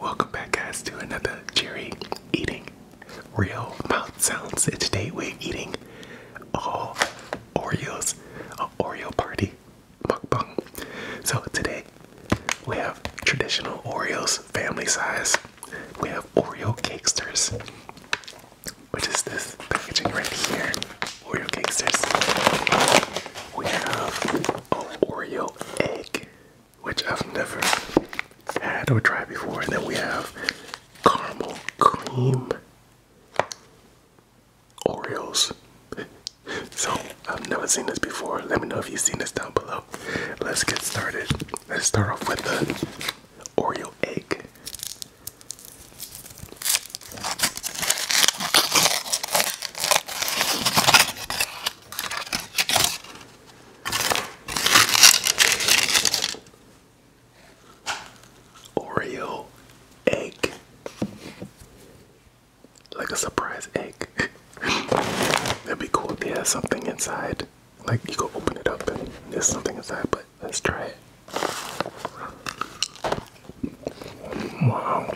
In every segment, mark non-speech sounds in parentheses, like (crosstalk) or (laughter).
Welcome back, guys, to another Jerry Eating Real Mouth Sounds. And today we're eating all Oreos, an Oreo party mukbang. So today we have traditional Oreos, family size. We have Oreo Cakesters, which is this packaging right here. Oreo Cakesters. We have an Oreo egg which I've never had or tried before. And then we have caramel cream Oreos. So I've never seen this before. Let me know if you've seen this down below. Let's get started. Let's start off with the Oreo egg. Oreo egg. Like a surprise egg. (laughs) That'd be cool if they had something inside. Like you go open it up and there's something inside, but let's try it. Wow.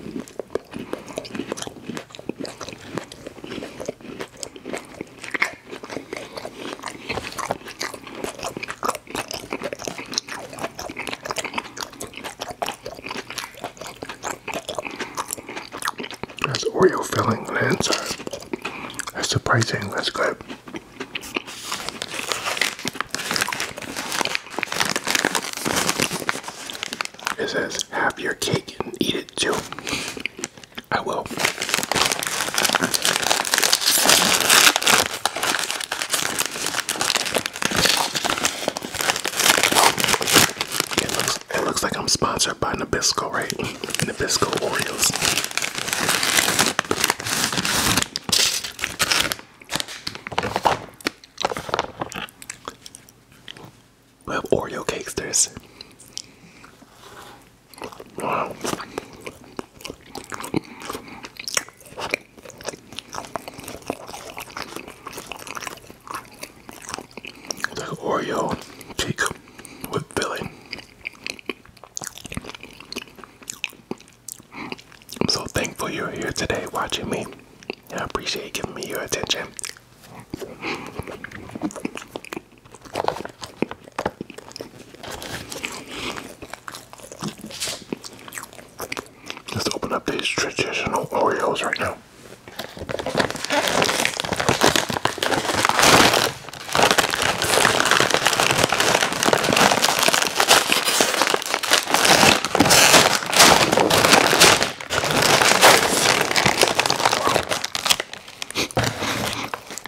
That's Oreo filling on inside. That's surprising. That's good. It says, have your cake and eat it too. I will. It looks, it looks like I'm sponsored by Nabisco, right? Nabisco Oreos. We have Oreo cakes. There's wow. The Oreo cake with filling. I'm so thankful you're here today watching me. I appreciate giving me your attention. Let's open up these traditional Oreos right now.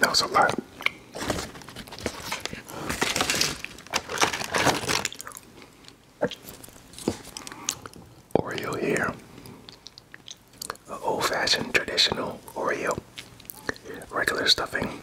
That was a lot. Oreo here. An old fashioned traditional Oreo. Regular stuffing.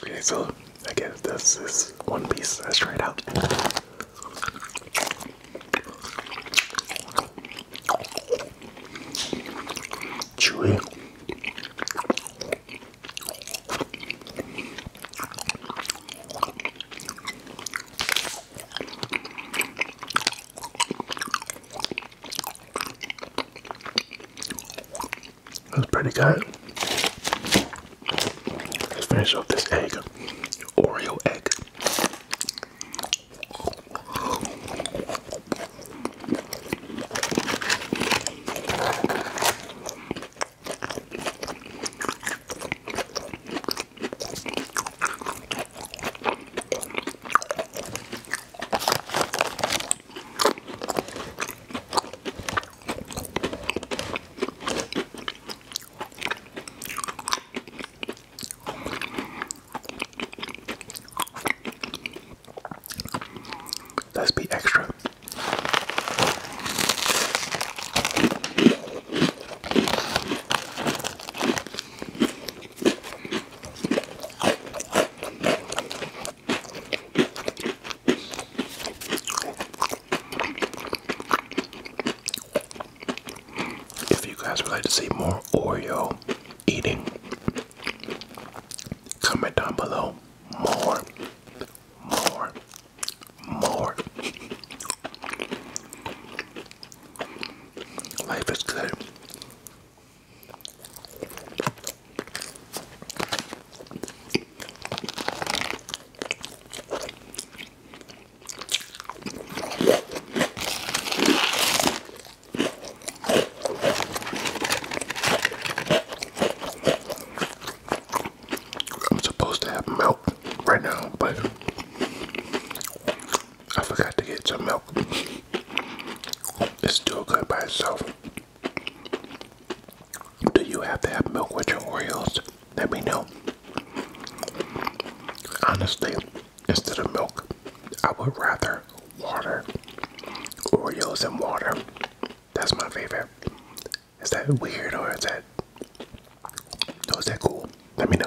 Okay, so I guess this one piece Let's try it out. Chewy. That's pretty good. Let's finish off this egg. Oreo egg. Let's be extra. If you guys would like to see more Oreo eating, comment down below. More, more, more. Life is good. I'm supposed to have milk right now, but I forgot to get some milk. It's still good by itself. Do you have to have milk with your Oreos? Let me know. Honestly, instead of milk, I would rather water. Oreos and water. That's my favorite. Is that weird or is that or is that cool? Let me know.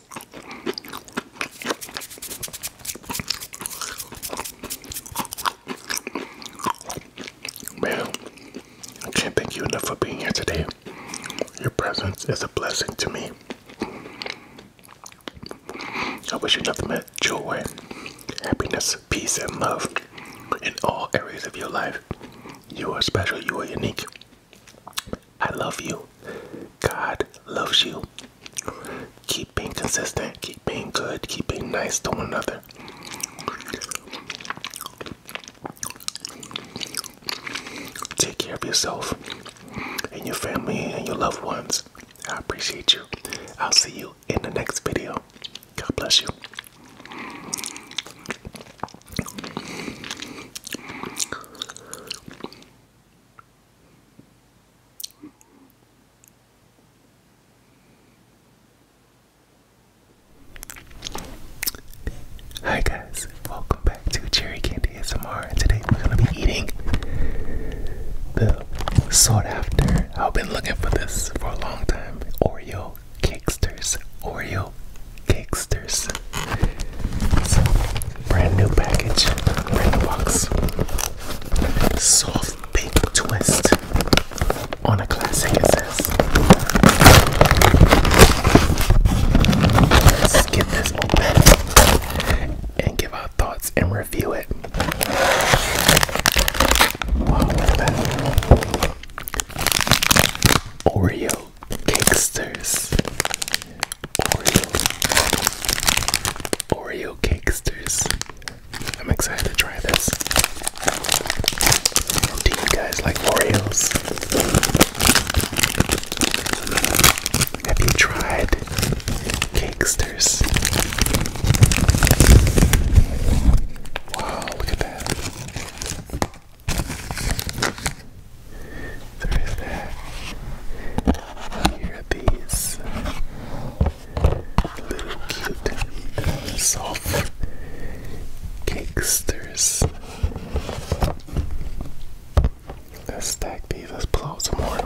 Man, I can't thank you enough for being here today. Your presence is a blessing to me. I wish you nothing but joy, happiness, peace, and love in all areas of your life. You are special, you are unique, I love you. God loves you. Keep being consistent. Keep being good. Keep being nice to one another. Take care of yourself and your family and your loved ones. I appreciate you. I'll see you in the next video. God bless you. Hi guys, welcome back to Cherry Candy ASMR and today we're gonna be eating the sought after, I've been looking for this for a long time, Oreo Cakesters, Oreo Cakesters. So, brand new package, brand new box. Soft pink twist on a classic, it Let's get this open and give our thoughts and review it. Oreo Cakesters. Oreo, Oreo cakesters. I'm excited to try this. Do you guys like Oreos? Have you tried cakesters? Wow, look at that. There is that. Here are these little cute soft cakes. let's stack these, let's pull some more.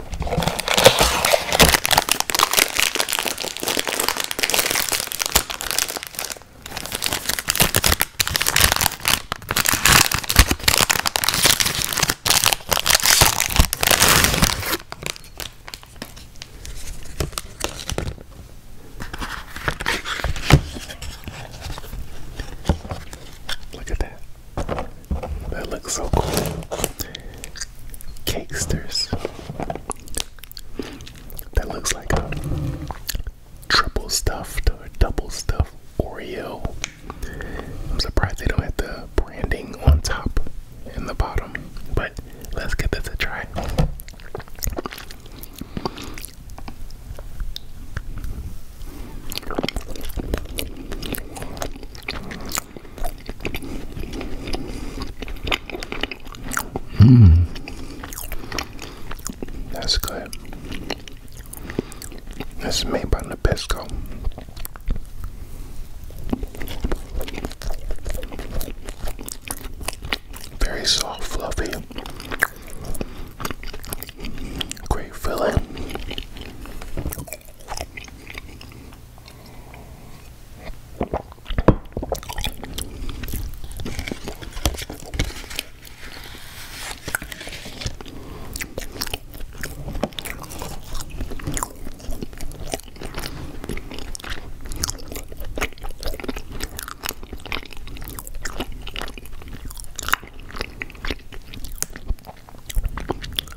Look at that. That looks so cool. Cakesters. That looks like a triple stuffed or double stuffed Oreo I'm surprised they don't have the branding on top and the bottom, but let's give this a try. Mmm, that's good. This is made by Nabisco. Very soft, fluffy. Great filling.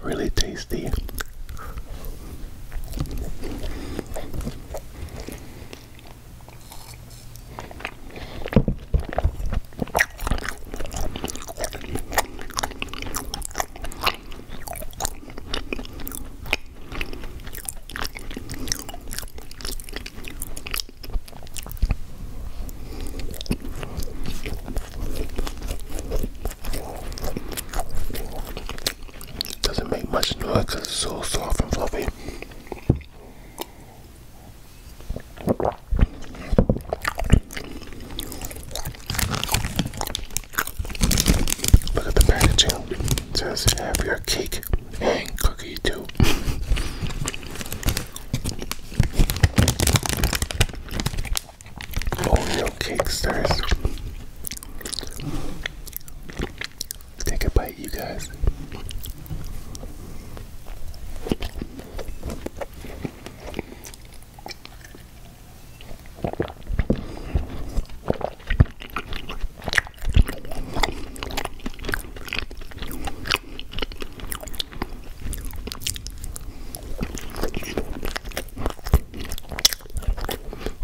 Really tasty. Doesn't make much noise because it's so soft and fluffy. Look at the packaging. It says have your cake and cookie too. Oreo cake stars. Take a bite, you guys.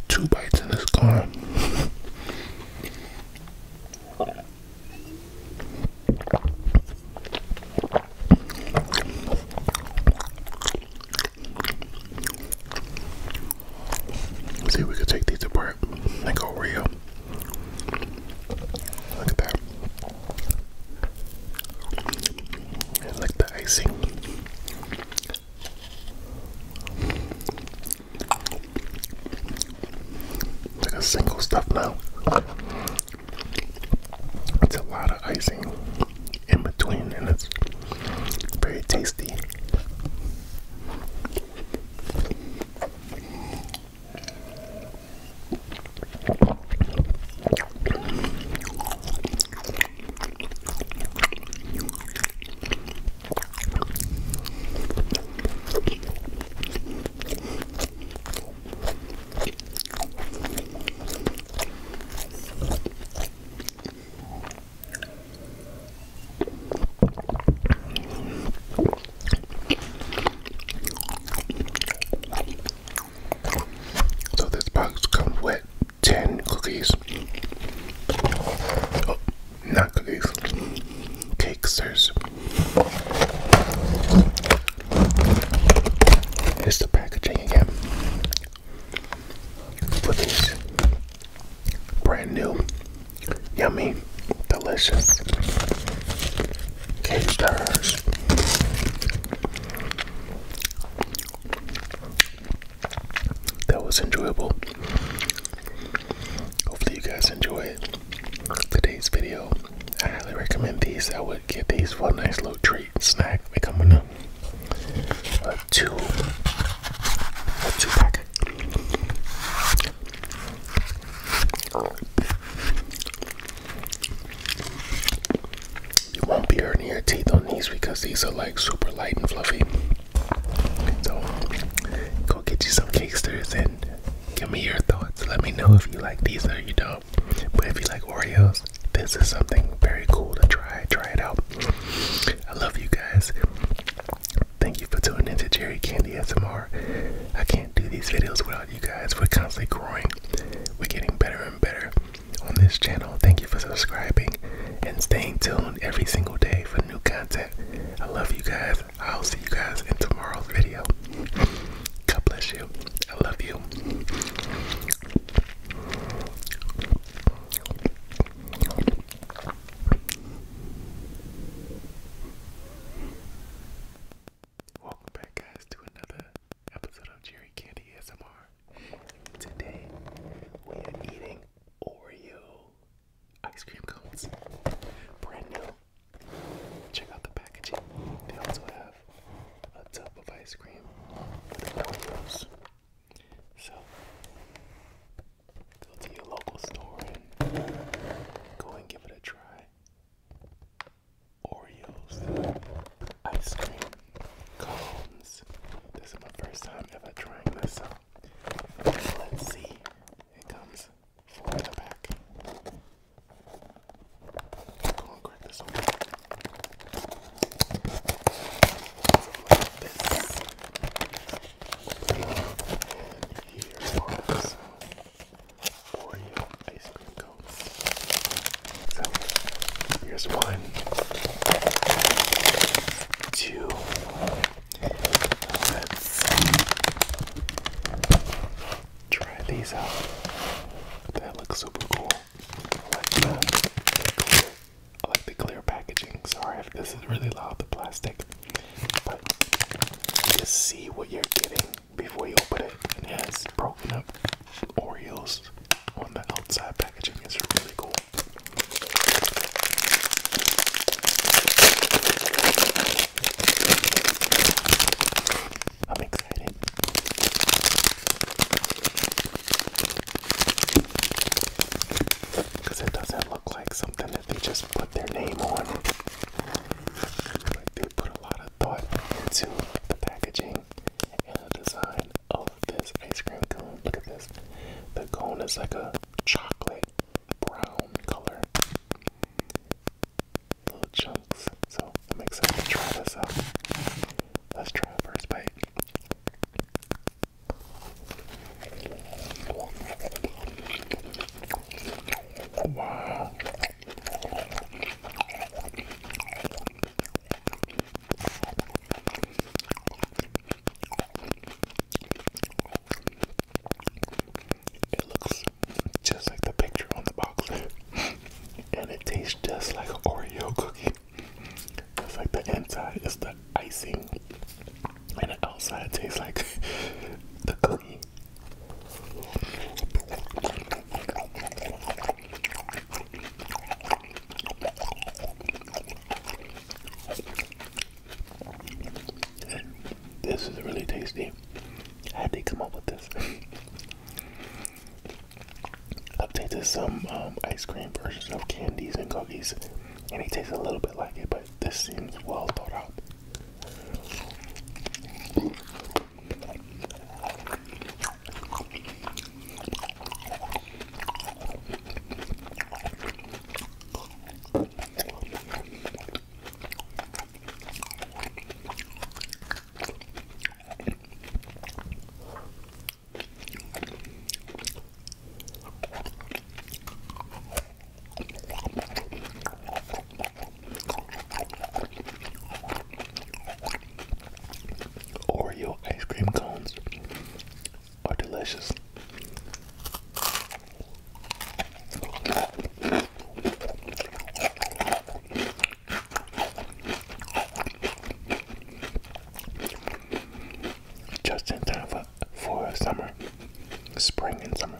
Two bites in this car. (laughs) Let's see if we can take these apart and go real. Look at that. And like the icing. Like a single stuff now. It's a lot of icing in between, and it's very tasty. So this box comes with ten cookies. Oh, not cookies. Cakes. There's Here's the packaging again for these brand new, yummy, delicious cake That was enjoyable. Hopefully, you guys enjoy it today's video. I highly recommend these. I would get these for a nice little treat snack. They come in a, two, two pack. You won't be hurting your teeth on these because these are like super light and fluffy. So go get you some cakesters and give me your thoughts. Let me know if you like these or you don't. But if you like Oreos, this is something very cool to try. Try it out. I love you guys. Thank you for tuning into Jerry Candy SMR. I can't do these videos without you guys. We're constantly growing. We're getting better and better on this channel. Thank you for subscribing and staying tuned every single day for new content. I love you guys. I'll see you guys in tomorrow's video. God bless you. I love you. Welcome back, guys, to another episode of Jerry Candy ASMR. Today, we are eating Oreo ice cream cones. Brand new. Check out the packaging. They also have a tub of ice cream with Doritos. So go to your local store and go and give it a try. Oreos, ice cream, cones. This is my first time ever trying this, out. let's see. It comes for the back. Go and crack this open. Like this. And here's our Oreo ice cream cones. So here's one, two. Let's try these out. That looks super cool. I like the clear, packaging. Sorry if this is really loud, the plastic. But just see what you're getting before you open it. And it has broken up Oreos on the outside packaging. It's really cool. I'm excited. Because it doesn't look like something that they just put their name on. Like they put a lot of thought into the packaging and the design of this ice cream cone. Look at this. The cone is like a chocolate brown color little chunks. So I'm excited to try this out. Let's try a first bite. Wow. It looks just like the picture on the box. (laughs) and it tastes just like an Oreo cookie. It's like the inside is the icing. And the outside tastes like (laughs) the cookie. This is really tasty. How did they come up with this? I've tasted some um, ice cream versions of candies and cookies, and it tastes a little bit like it, but this seems well thought out. Oreo ice cream cones are delicious. Just in time for, for summer, spring and summer.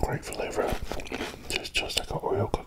Great flavor. Just just like an Oreo cookie.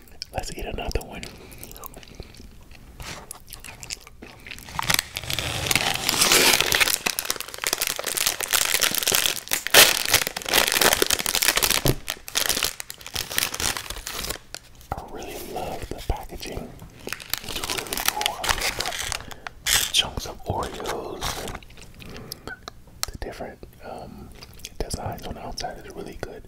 Let's eat another one. I really love the packaging. It's really cool. the chunks of Oreos and the different um, designs on the outside. is really good.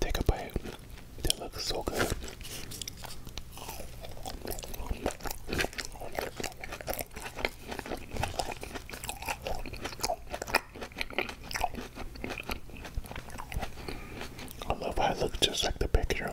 Take a bite. That looks so good. I love how it looks just like the picture.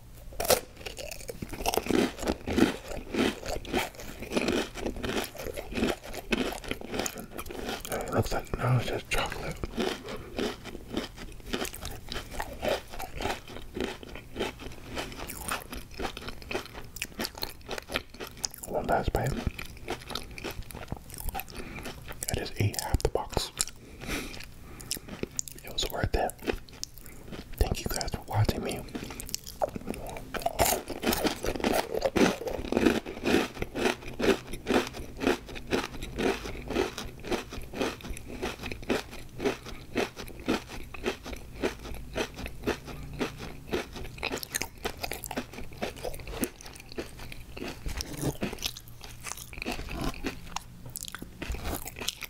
It looks like No, it's just chocolate. One last bite. I just ate half the box. It was worth it. Thank you guys for watching me.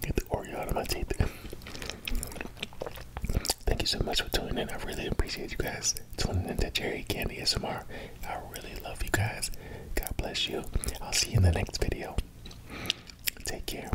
get the Oreo out of my teeth. Thank you so much for tuning in. I really appreciate you guys tuning into Cherry Candy SMR. I really love you guys. God bless you. I'll see you in the next video. Take care.